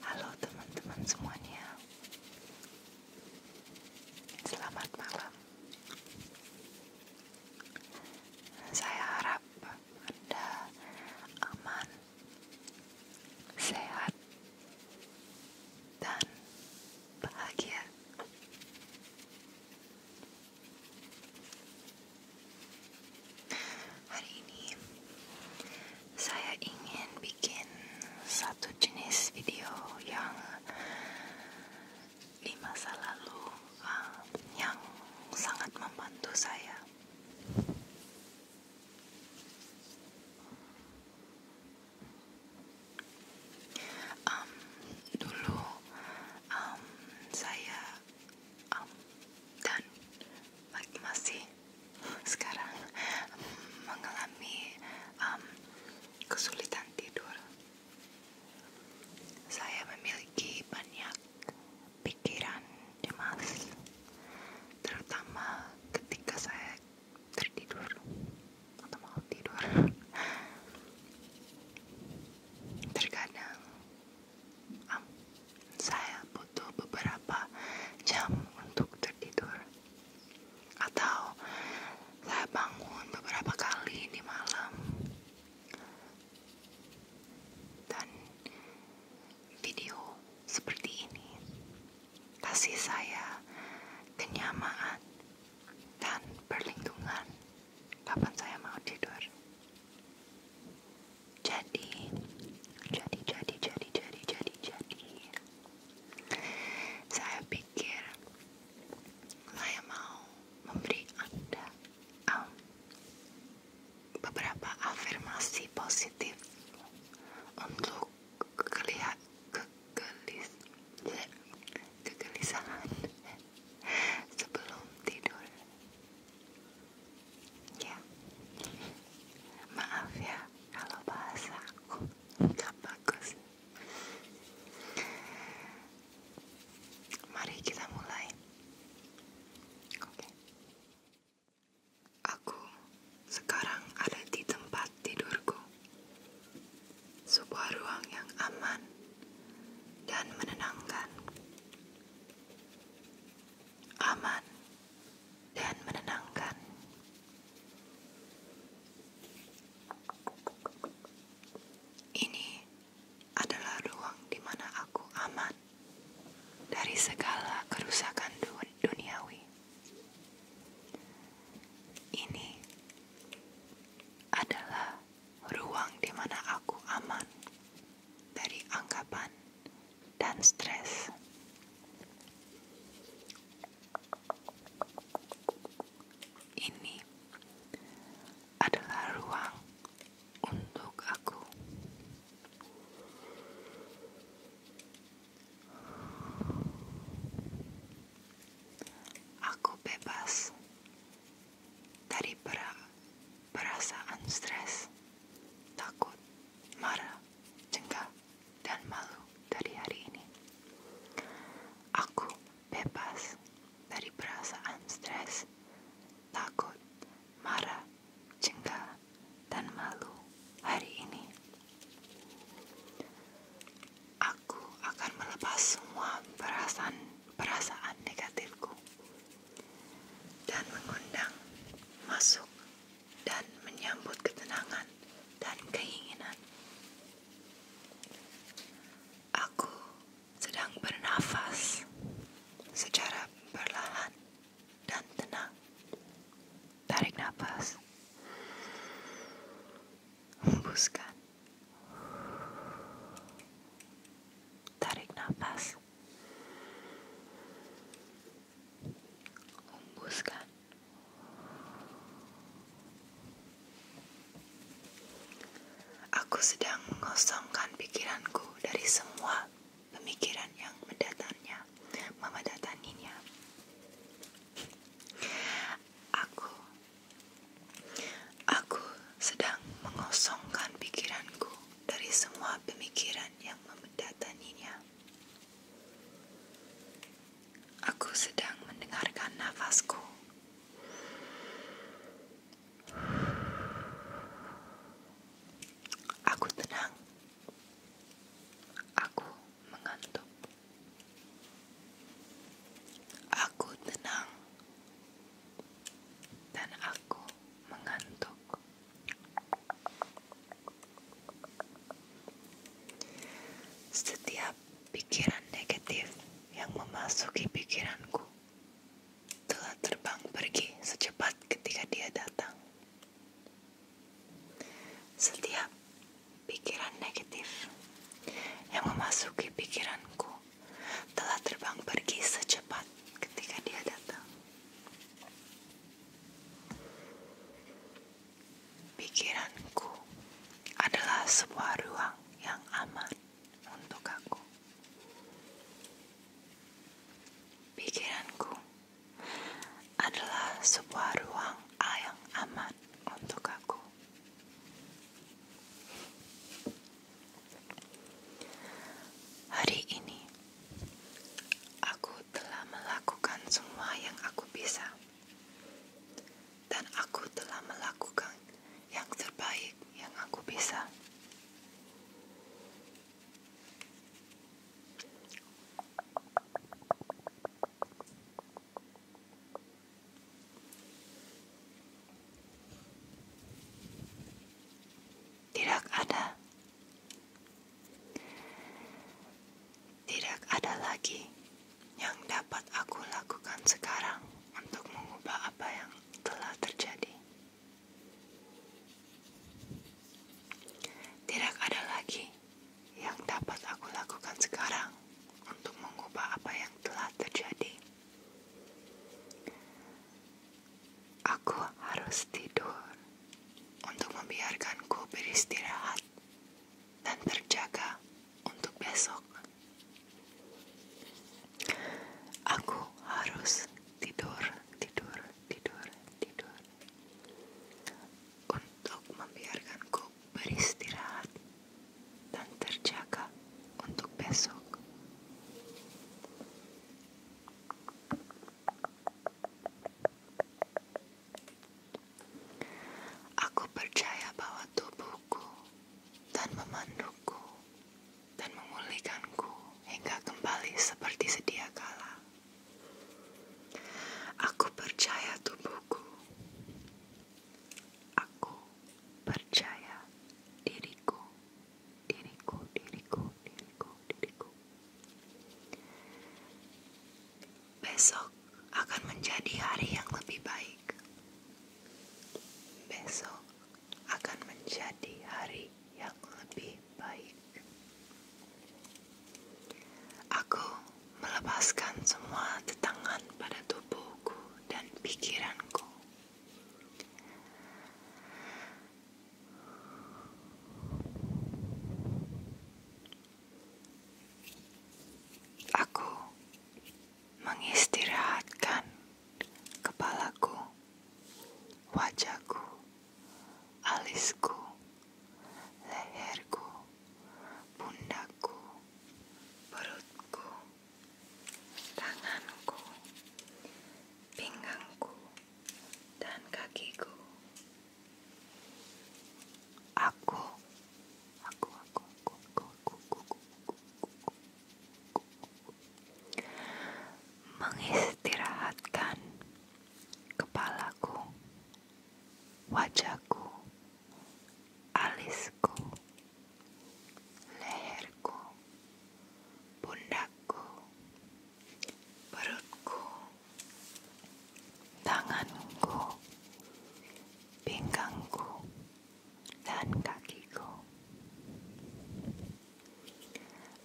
Halo teman-teman semuanya. Selamat malam. Saya harap anda aman, sehat, dan bahagia. Hari ini saya ingin bikin satu jenis video yang di masa lalu eh, yang sangat membantu saya dulu saya dan masih sekarang mengalami kesulitan tidur. Saya memiliki banyak pikiran Dimas, ya, terutama ketika saya tertidur atau mau tidur. Terkadang saya butuh beberapa jam untuk tertidur, atau saya bangun beberapa kali di malam dan video seperti ini kasih saya kenyamanan dan perlindungan kapan saya mau tidur jadi jadi jadi jadi jadi jadi jadi saya pikir saya mau memberi anda um, beberapa afirmasi positif untuk kelihat kegelis kegelisahan sebelum tidur ya maaf ya kalau bahasa aku nggak bagus mari kita mulai oke Aku sekarang ada di tempat tidurku, sebuah ruang yang aman dan menenangkan. Aman dan menenangkan. Ini adalah ruang di mana aku aman dari segala kerusakan duniawi. Ini adalah ruang di aku aman dari anggapan dan stres. Ini adalah ruang untuk aku. Aku bebas dari perasaan stres, takut, marah, jengah, dan malu dari hari ini. Aku bebas dari perasaan stres, takut, marah, jengah, dan malu hari ini. Aku akan melepas semua perasaan-perasaan negatifku dan mengundang masuk dan menyambut ketenangan dan keinginan. Aku sedang bernafas secara perlahan dan tenang. Tarik nafas. Hembuskan. Tarik nafas. Hembuskan. Aku sedang mengosongkan pikiranku dari semua pemikiran yang mendatangnya, mendatanginya. Aku, aku sedang mengosongkan pikiranku dari semua pemikiran yang mendatanginya. Aku sedang mendengarkan nafasku. Aku tenang. Aku mengantuk. Aku tenang. Dan aku mengantuk. Setiap pikiran negatif yang memasuki pikiranku telah terbang pergi secepat ketika dia datang. Setiap pikiran negatif yang memasuki pikiranku telah terbang pergi secepat ketika dia datang. Pikiranku adalah sebuah ruang yang aman untuk aku. Pikiranku adalah sebuah ruang yang aman untuk aku. Hari ini, aku telah melakukan semua yang aku bisa, dan aku telah melakukan yang terbaik yang aku bisa. Tidak ada, tidak ada lagi yang dapat aku lakukan sekarang untuk mengubah apa yang telah terjadi. Tidak ada lagi yang dapat aku lakukan sekarang untuk mengubah apa yang telah terjadi. Aku harus tidur untuk membiarkanku beristirahat dan terjaga untuk besok. Aku harus tidur, tidur, tidur, tidur untuk membiarkanku beristirahat dan terjaga untuk besok. Aku percaya bahwa tubuhku dan memanduku dan memulihkanku hingga kembali seperti sedia kala. Aku percaya tubuhku. Aku percaya diriku, diriku, diriku, diriku, diriku. Besok akan menjadi hari yang lebih baik. Besok akan menjadi hari yang lebih baik. Aku melepaskan semua tetangan pada tubuhku dan pikiranku. Aku mengistirahatkan kepalaku, wajahku, alisku, leherku, pundaku, perutku, tanganku, pinggangku, dan kakiku. Aku, aku, aku, aku, aku, aku, aku, aku, aku, aku, aku, aku, aku, aku, aku, aku, aku, aku mengistirahatkan kepalaku, wajahku, alisku, leherku, pundakku, perutku, tanganku, pinggangku, dan kakiku.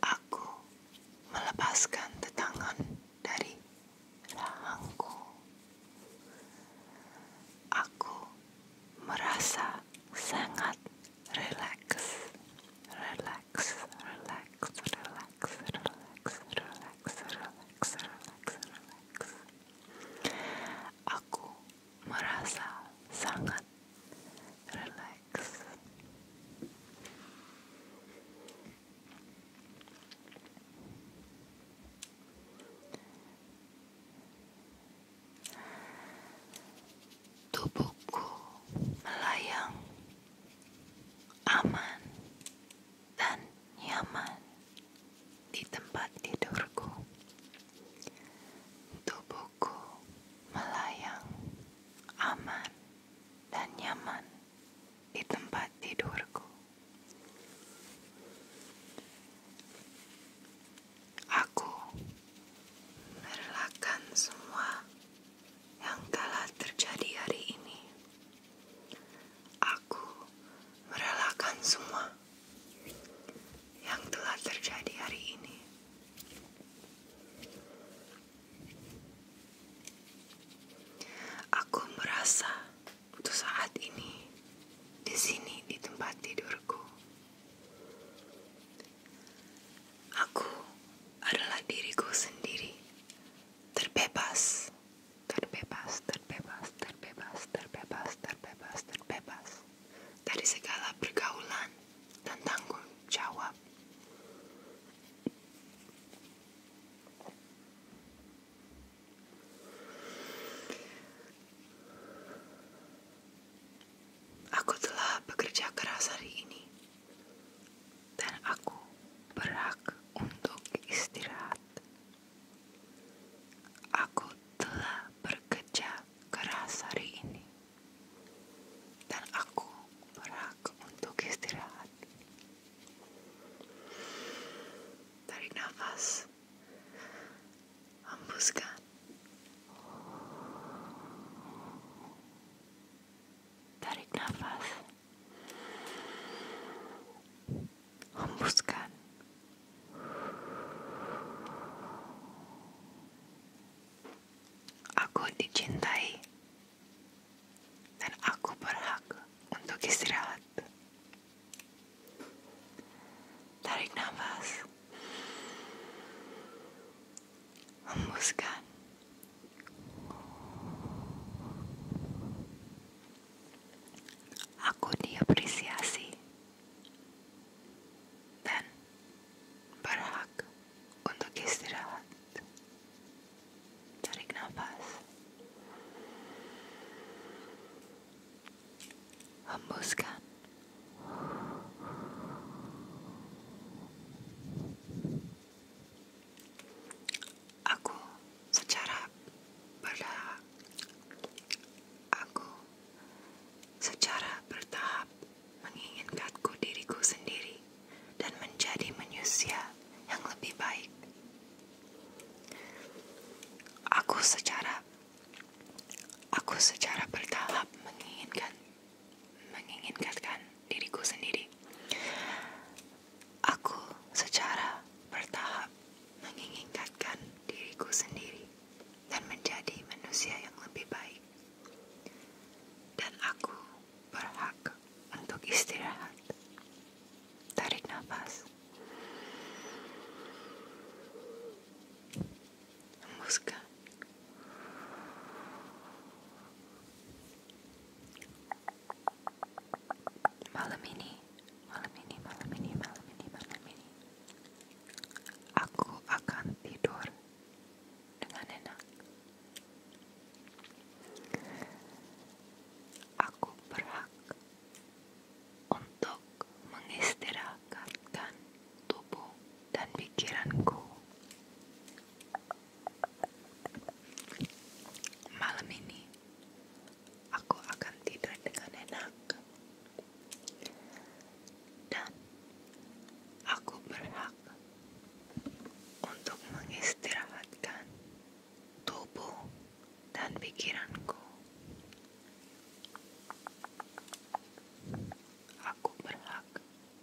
Aku melepaskan tetangan dari rahangku. Aku merasa sangat relax, relax, relax, relax, relax, relax, relax, relax, Aku merasa sangat relax legs. Tubuhku melayang aman dan nyaman di tempat tidurku. Tubuhku tubuhku melayang aman dan nyaman di tempat tidurku. Aku merelakan semua yang telah terjadi hari ini. Aku merelakan semua yang telah terjadi hari ini. Aku merasa untuk saat ini di sini di tempat tidurku. Aku adalah diriku sendiri. Terbebas, terbebas, terbebas, terbebas, terbebas, terbebas, terbebas dari segala pergaulan dan tanggung jawab. Aku telah bekerja keras hari ini, dan aku berhak untuk istirahat. Aku telah bekerja keras hari ini dan aku berak untuk istirahat. Tarik nafas, hembuskan, tarik nafas, hembuskan. Aku dicintai dan aku berhak untuk istirahat. Tarik nafas, hembuskan. Aku diapresiasi dan berhak untuk istirahat. Tarik nafas. Hembuskan. Aku secara bertahap. Aku secara bertahap menginginkanku diriku sendiri dan menjadi manusia yang lebih baik. Aku secara aku secara bertahap menginginkan menginginkan diriku sendiri. Aku secara bertahap menginginkan diriku sendiri dan menjadi manusia yang lebih baik. Dan aku berhak untuk istirahat. Tarik nafas. Hembuskan. Malam ini, malam ini, malam ini, malam ini, malam ini. Aku akan tidur dengan enak. Aku berhak untuk mengistirahatkan tubuh dan pikiranku. Malam ini aku akan tidur dengan enak dan aku berhak untuk mengistirahatkan tubuh dan pikiranku. Aku berhak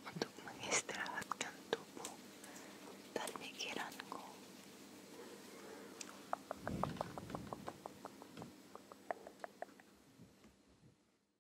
untuk mengistirahatkan tubuh dan pikiranku.